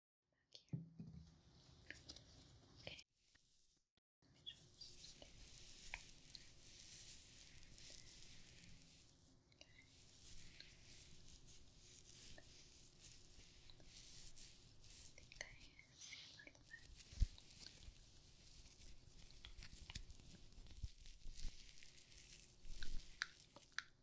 Back here. Okay. Let me just... Okay. I think I see a little bit. Okay.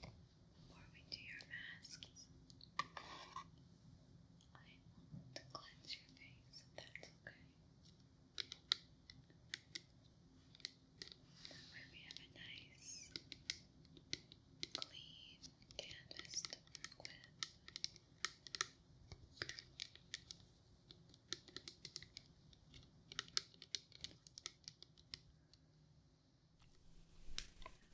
Before we do your masks, I want to cleanse your face if that's okay. That way we have a nice, clean canvas to work with. Okay, I'm going to cleanse your face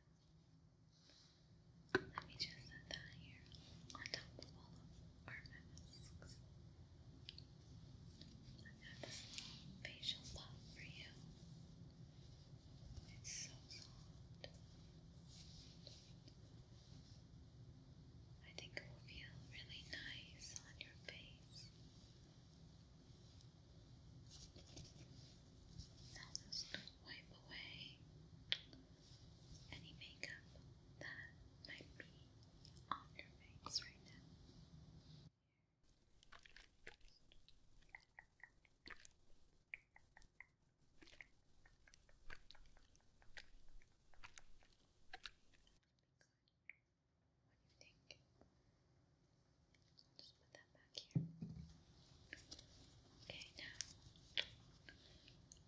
now. Let me just set that here on top of all of our masks. I've this facial pump for you. It's so soft. I think it will feel really nice on your face. Now just wipe away any makeup that might be on your face right now you think? I'll just put that back here. Okay, now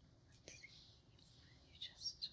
let's see. You just. Just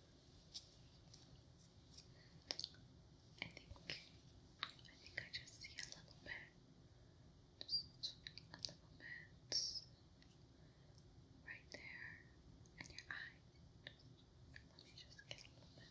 I think I think I just see a little bit, just a little bit right there in your eye. let me just get a little bit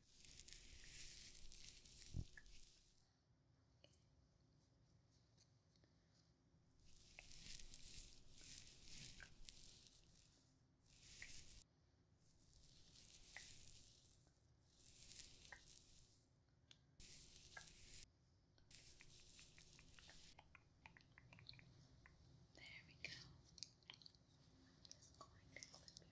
There we go. I'm just going to clip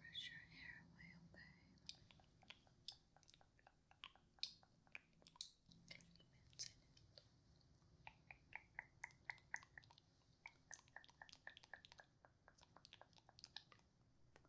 brush your hair away, okay? Mince it. Good.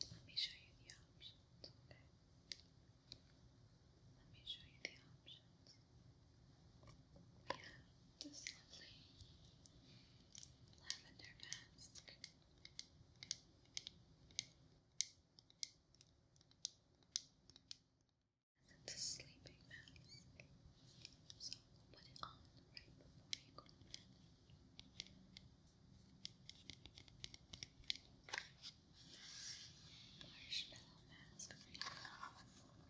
Let me show you the options, okay? Let me show you the options. We have this lovely lavender mask. It's a sleeping mask, so put it on right before you go to bed. Marshmallow mask for you.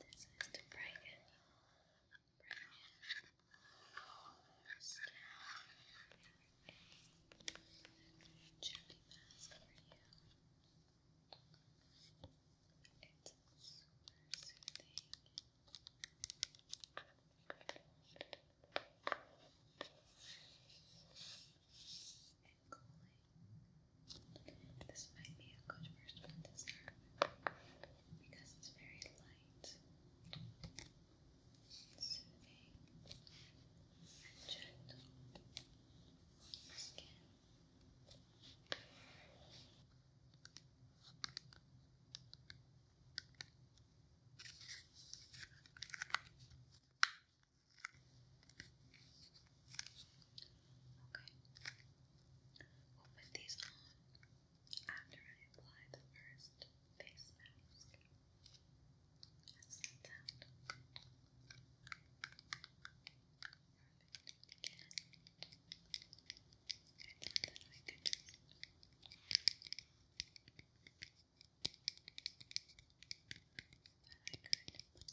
This is to brighten, brighten your skin. Jelly mask for you. It's super This might be a good first one to start with because it's very light, soothing, and gentle your skin. Okay. We'll put these on after I apply the first face mask. How's that sound? Perfect. I thought I could just that I could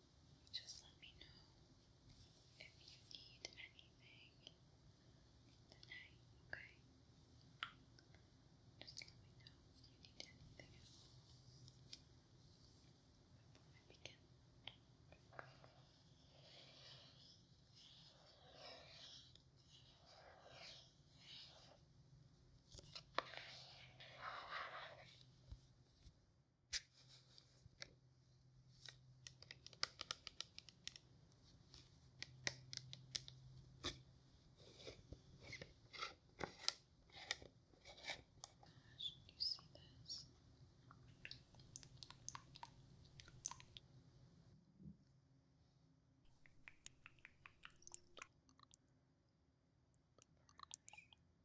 Just let me know if you need anything tonight, okay? Just let me know if you need anything before I begin. Gosh, you see this? Brush.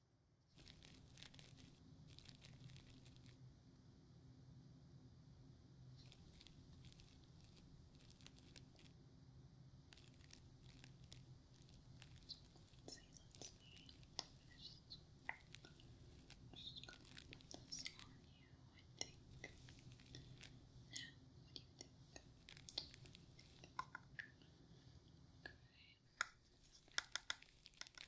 Let's see, let's see. Just, just gonna put this on you, I think. Now, what do you think? Okay.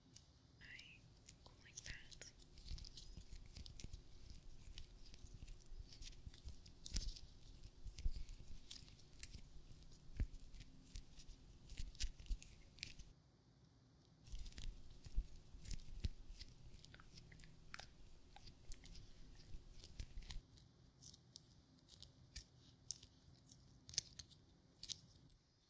I go like that. Okay.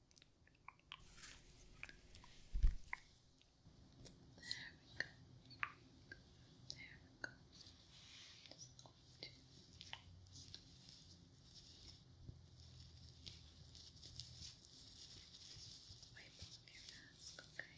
There we go. There we go. Just wipe off your mask, okay?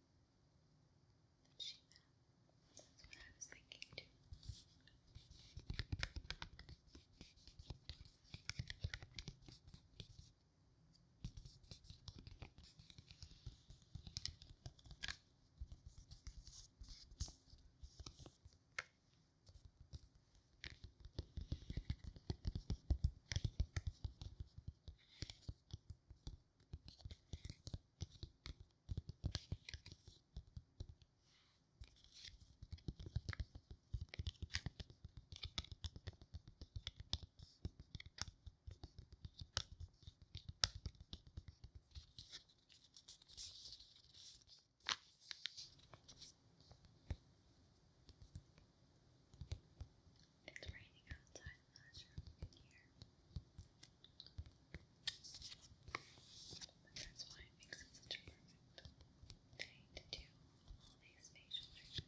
that she met. That's what I was thinking too. Thank you it's raining outside i you that's why it makes it such a perfect day to do all these facial treatments.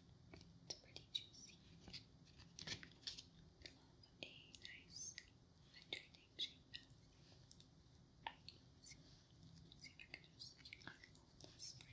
It's pretty juicy. I love a nice hydrating shake see, see if I can just like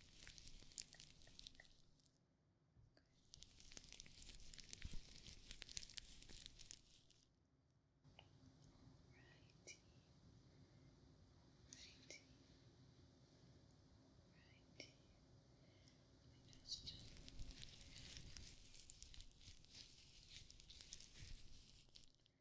Alrighty. Alrighty. Alrighty. Let me just do Alrighty.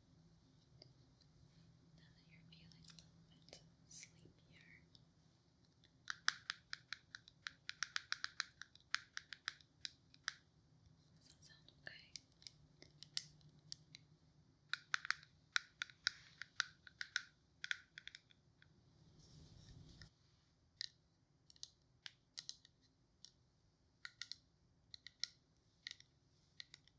Now that you're feeling a little bit sleepier, does that sound okay?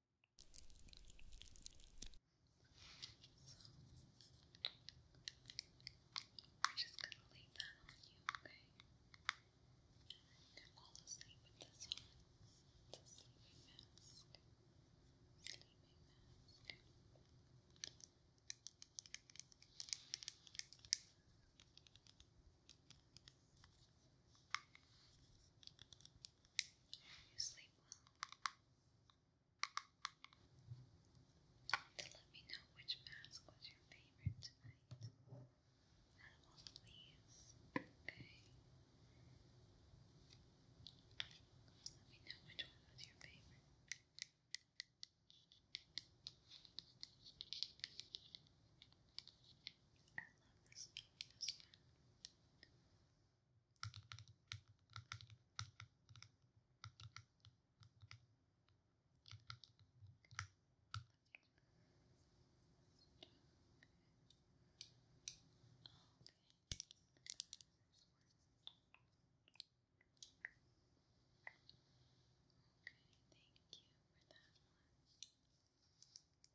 we're just gonna leave that on you, okay? And fall asleep with this one. It's sleeping mask. Sleeping mask. You sleep well. To let me know which mask was your favorite tonight. Out of all these, okay. Let me know which one was your favorite. I love this Okay, thank you for that one.